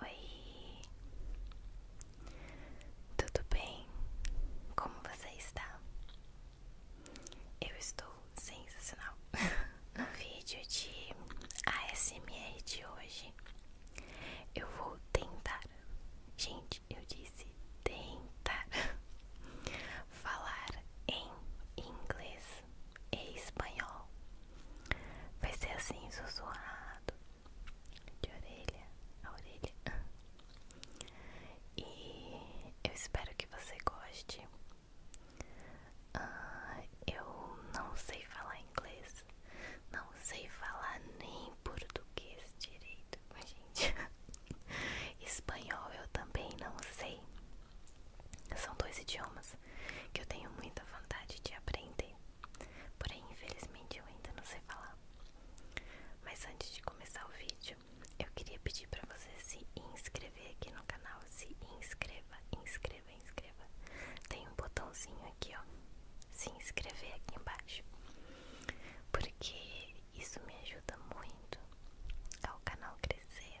Oi, tudo bem? Como você está? Eu estou sensacional. No vídeo de ASMR de hoje, eu vou tentar, gente, eu disse tentar falar em inglês inglês e espanhol. Vai ser assim, sussurrado, de orelha a orelha. E eu espero que você goste. Ah, eu não sei falar inglês, não sei falar nem português direito, gente. Espanhol eu também não sei. São dois idiomas que eu tenho muita vontade de aprender, porém, infelizmente, eu ainda não sei falar. Mas antes de começar o vídeo, eu queria pedir para você se inscrever aqui no canal. Se inscreva, inscreva, inscreva. Tem um botãozinho aqui, ó. Se inscrever aqui embaixo. Porque isso me ajuda muito ao canal crescer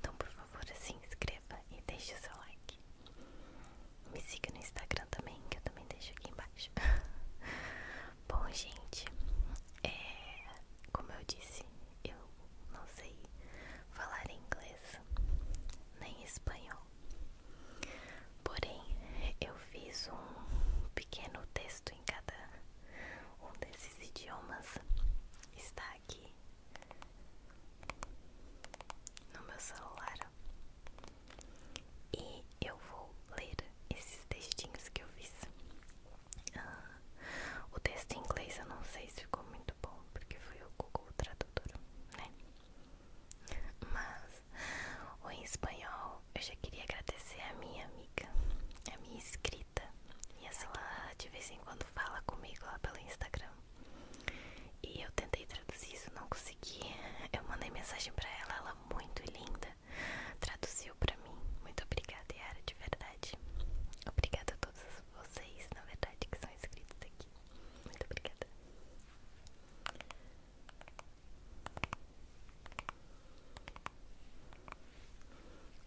Então, por favor, se assim, inscreva e deixe o seu like. Me siga no Instagram também, que eu também deixo aqui embaixo. Bom, gente, é, como eu disse, eu não sei falar inglês nem espanhol. Porém, eu fiz um pequeno texto em cada um desses idiomas está aqui no meu celular e eu vou ler esses textinhos que eu fiz. Ah, o texto em inglês eu não sei se ficou muito bom porque foi o Google Tradutor, né? Mas o em espanhol eu já queria agradecer a minha amiga, a minha inscrita. E essa ela de vez em quando fala comigo lá pelo Instagram. E eu tentei traduzir isso, não consegui. Eu mandei mensagem pra ela, ela muito linda. Traduziu pra mim. Muito obrigada, Yara, de verdade. Obrigada a todos vocês, na verdade, que são inscritos aqui. Muito obrigada.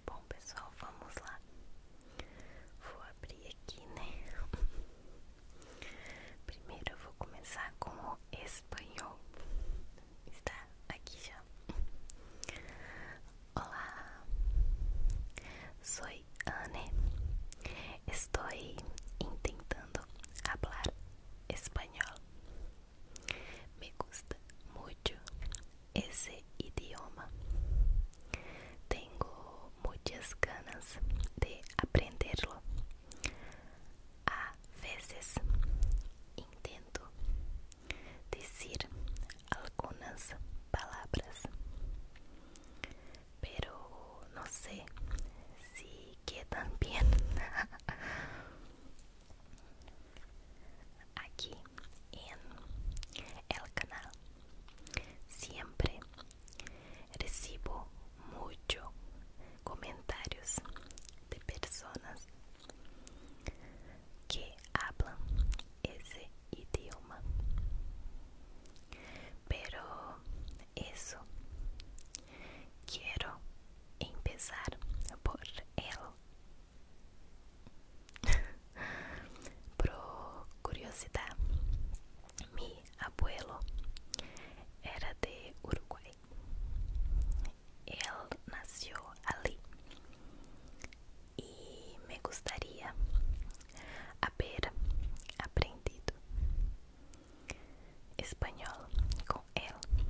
Bom, pessoal, vamos lá. Vou abrir aqui, né? Primeiro eu vou começar com o espanhol. Está aqui já. Olá. sou Anne. Estou tentando falar espanhol. Me gusta mucho ese idioma. Tengo muchas ganas de aprenderlo. A veces intento decir algunas palabras, pero no sé si quedan bien. aquí en el canal siempre recibo muchos comentarios de personas que hablan ese idioma pero eso quiero empezar por él. Pro curiosidade, meu abuelo era de Uruguai. Ele nasceu ali e me gostaria ter aprendido espanhol com com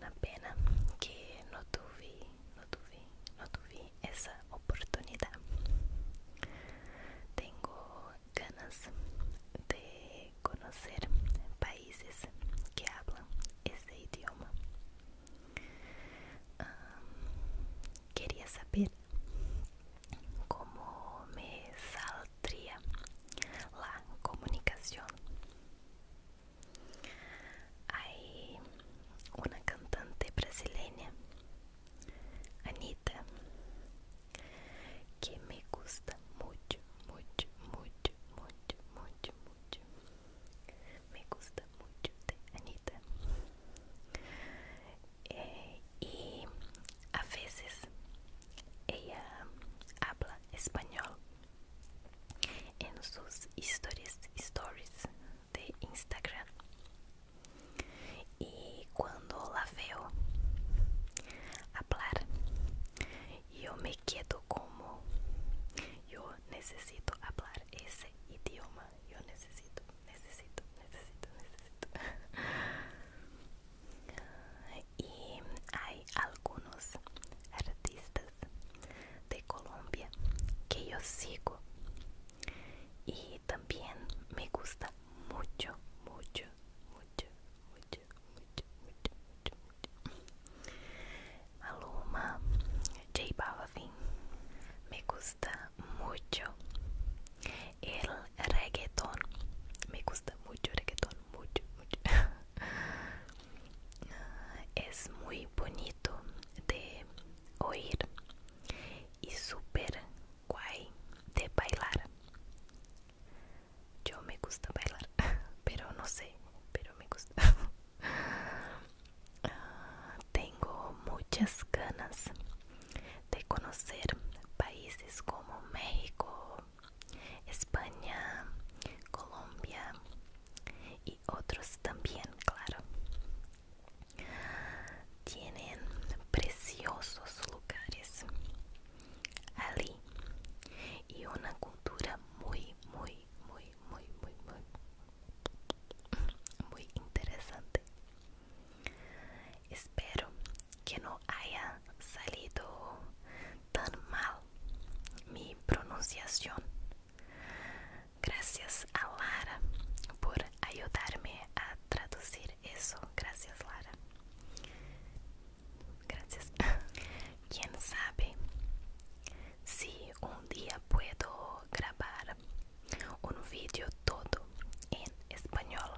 Uma pena que não tive, não tive, não tive essa oportunidade. Tenho ganas de conhecer países que falam esse idioma. queria saber como me salva otría, la comunicación. Hay una cantante brasileña, Anita, que me gusta muito, muito, muito, muito, muito, muito, Me gusta mucho de Anita. É, e a vezes, ela habla espanhol em suas stories, stories de Instagram. E quando la veo hablar, eu me quedo como eu necessito hablar esse idioma. Eu necessito, necessito, necessito, necessito. y hay algunos artistas de Colombia que yo sigo y también me gusta mucho, mucho, mucho, mucho, mucho, mucho, mucho, Maluma, J Balvin, me gusta mucho el reggaetón me gusta mucho reggaetón mucho mucho ah, es muy bonito de oír y super guay de bailar yo me gusta bailar pero no sé pero me gusta ah, tengo muchas ganas de conocer países como México, España, Colombia y otros también, claro. Tienen preciosos lugares allí y una cultura muy, muy, muy, muy, muy, muy interesante. Espero que no haya salido tan mal mi pronunciación. Gracias a Lara por ayudarme a traducir eso. Gracias Lara. Gracias. ¿Quién sabe si un día puedo grabar un vídeo todo en español?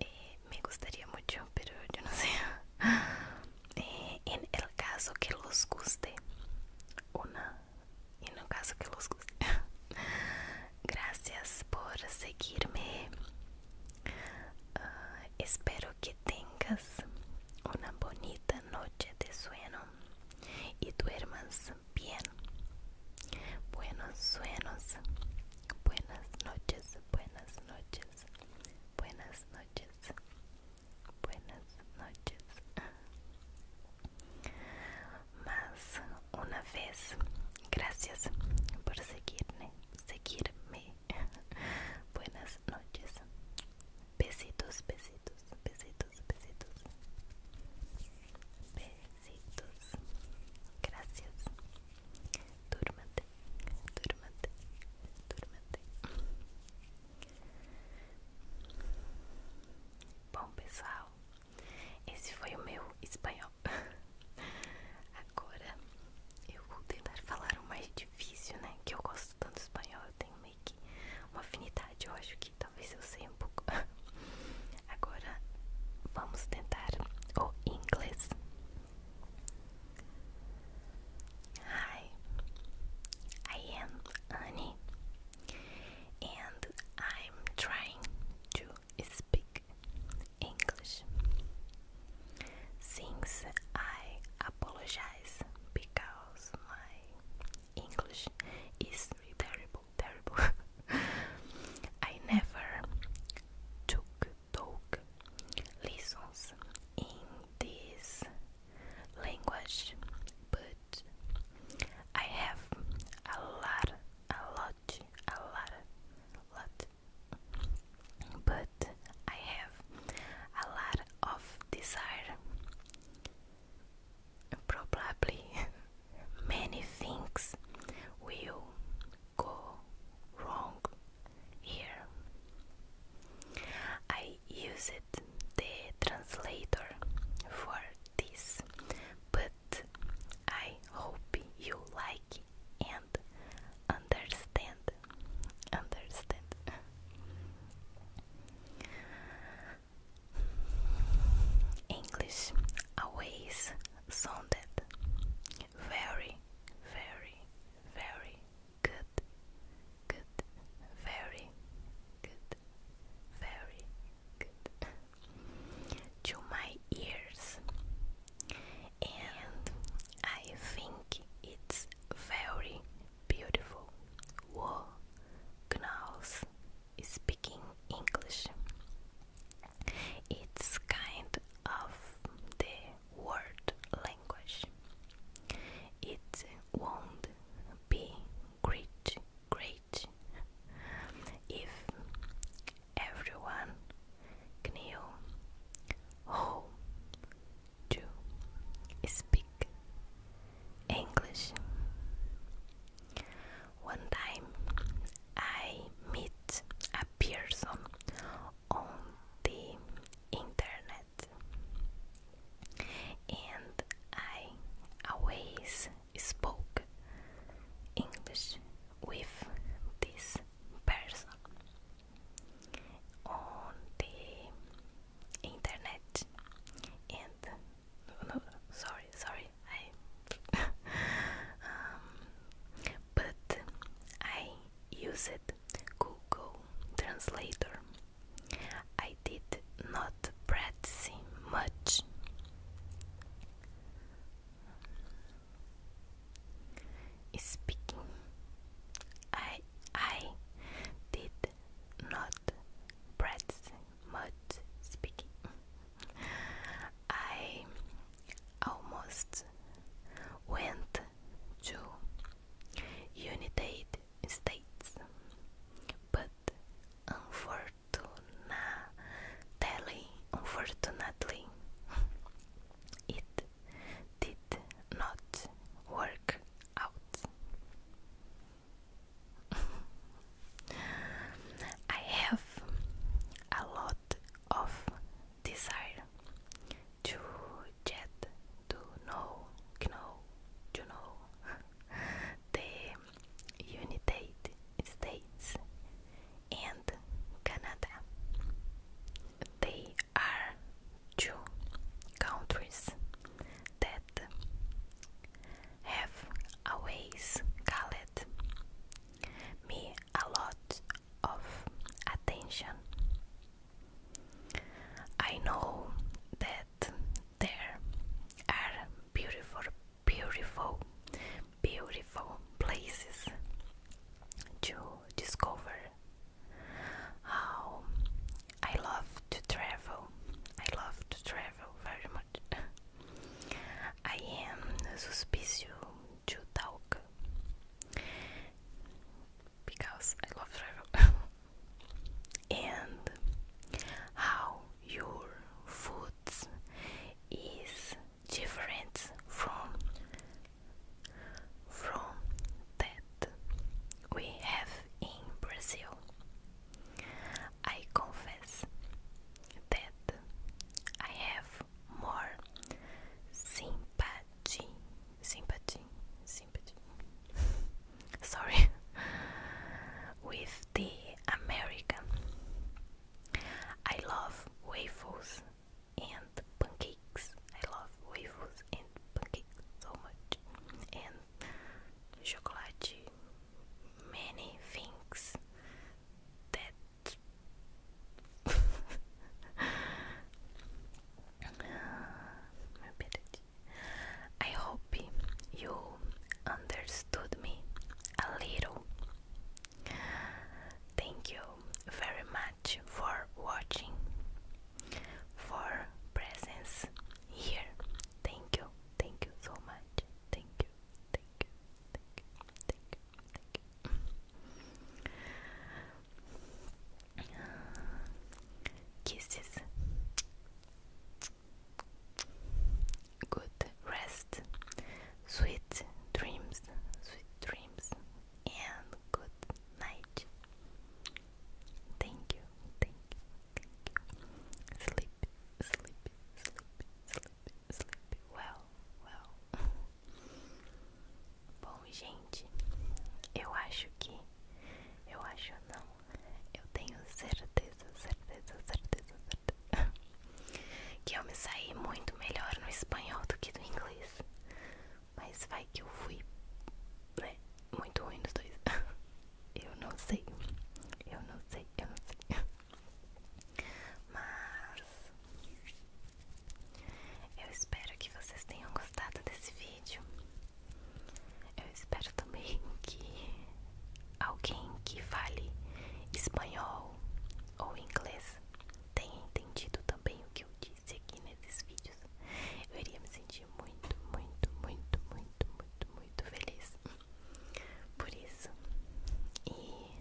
Eh, me gustaría mucho, pero yo no sé. Eh, en el caso que los guste, una. En el caso que los guste. Gracias por seguirme. Ah, espero que tengas una bonita noche de sueño y duermas bien. Buenos sueños. Buenas noches, buenas noches. Buenas noches. Buenas noches. Más una vez, gracias por seguirme, seguirme. Buenas noches. Besitos, besitos, besitos, besitos. beijitos, Gracias. Durmate, durmate, durmate. Bom, pessoal, esse foi o meu espanhol. Agora eu vou tentar falar o mais difícil, né? Que eu gosto tanto espanhol, eu tenho meio que uma afinidade. Eu acho que talvez eu sei um pouco. Hi, I am Annie, and I'm trying to speak English. Since I apologize because my English is terrible terrible. I never took lessons in this language, but I have a lot, a lot, a lot, lot. But I have a lot of desire probably many things will go wrong here. I used the translator for this, but I hope you like and understand. Understand. English always sounded very, very, very good, good, very good, very good to my ears, and I think it's very beautiful. Wow, Knaus, speaking English. It's kind of the word language. It won't be great, great if everyone knew how to speak English. One time I met a person on the internet and I always spoke English with this person. On the internet, and no, no, sorry, sorry, I, um, but I used Google Translator. I did not practice much. Speaking, I I did not bread, much speaking. I almost went to United States, but unfortunately, unfortunately, it did not work out. I have a lot of desire to get to know, know, to know the United States and Canada. They are two countries that have always called me a lot of attention. I know that there are beautiful, beautiful, beautiful places to discover. How I love to travel. I love to travel very much. I am suspicious to talk because I love travel. and how your food is different from from that we have in Brazil. I confess that I have more sympathy, sympathy, sympathy. Sorry, with the American. I love waffles and pancakes. I love waffles and pancakes so much. And chocolate many things that I hope you understood me a little. Thank you very much for watching for presence here. Thank you, thank you so much. Thank you, thank you, thank you, thank you, Kisses. Good rest, sweet dreams, sweet dreams, and good night. Thank you, thank you, thank you. Sleep, sleep, sleep, sleep, sleep. Well, well. Bom, gente, eu acho que. Eu acho não. Eu tenho certeza, certeza, certeza, certeza. Que eu me saí muito melhor no espanhol do que no inglês. Mas vai que eu fui né? muito ruim nos dois. eu não sei. Eu não sei, eu não sei. Mas eu espero que vocês tenham gostado desse vídeo. Eu espero também que alguém que fale espanhol ou inglês tenha entendido também o que eu disse conseguisse aqui nesses vídeos, eu iria me sentir muito, muito, muito, muito, muito, muito feliz por isso. E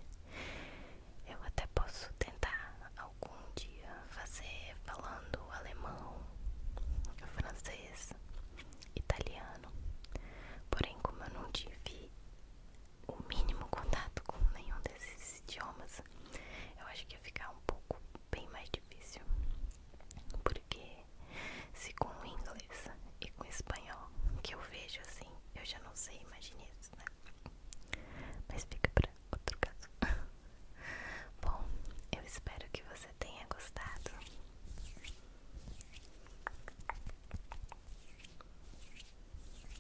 eu até posso tentar algum dia fazer falando alemão, francês, italiano. Porém, como eu não tive o mínimo contato com nenhum desses idiomas, eu acho que ia ficar um pouco bem mais difícil. Porque se com o inglês e com o espanhol que eu vejo assim, eu já não sei imaginar isso né? Mas fica para outro caso. Bom, eu espero que você tenha gostado.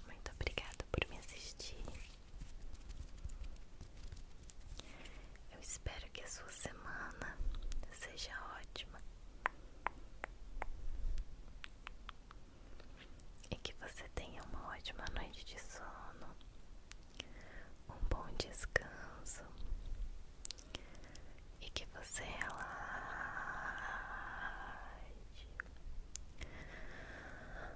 Muito obrigada por me assistir. Eu espero que a sua semana seja ótima e que você tenha uma ótima noite de sono, um bom descanso e que você relaxe.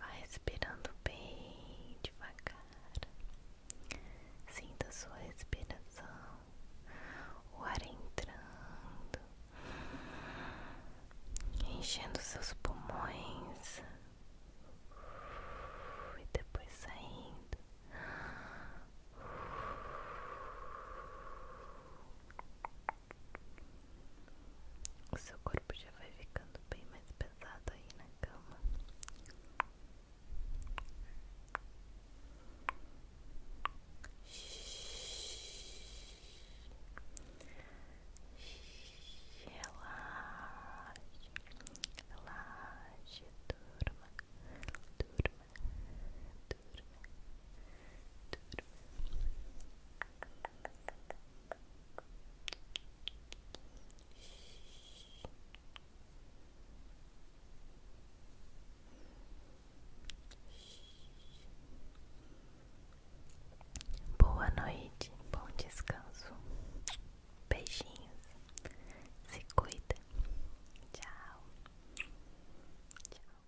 Vai respirando bem devagar. Sinta sua respiração, o ar entrando, enchendo seus pulmões e depois saindo seu corpo já vai ficando bem mais pesado aí na cama. Relaxe, relaxe, durma, durma, durma, durma. Boa noite, bom descanso. Beijinhos. Se cuida. Tchau. Tchau.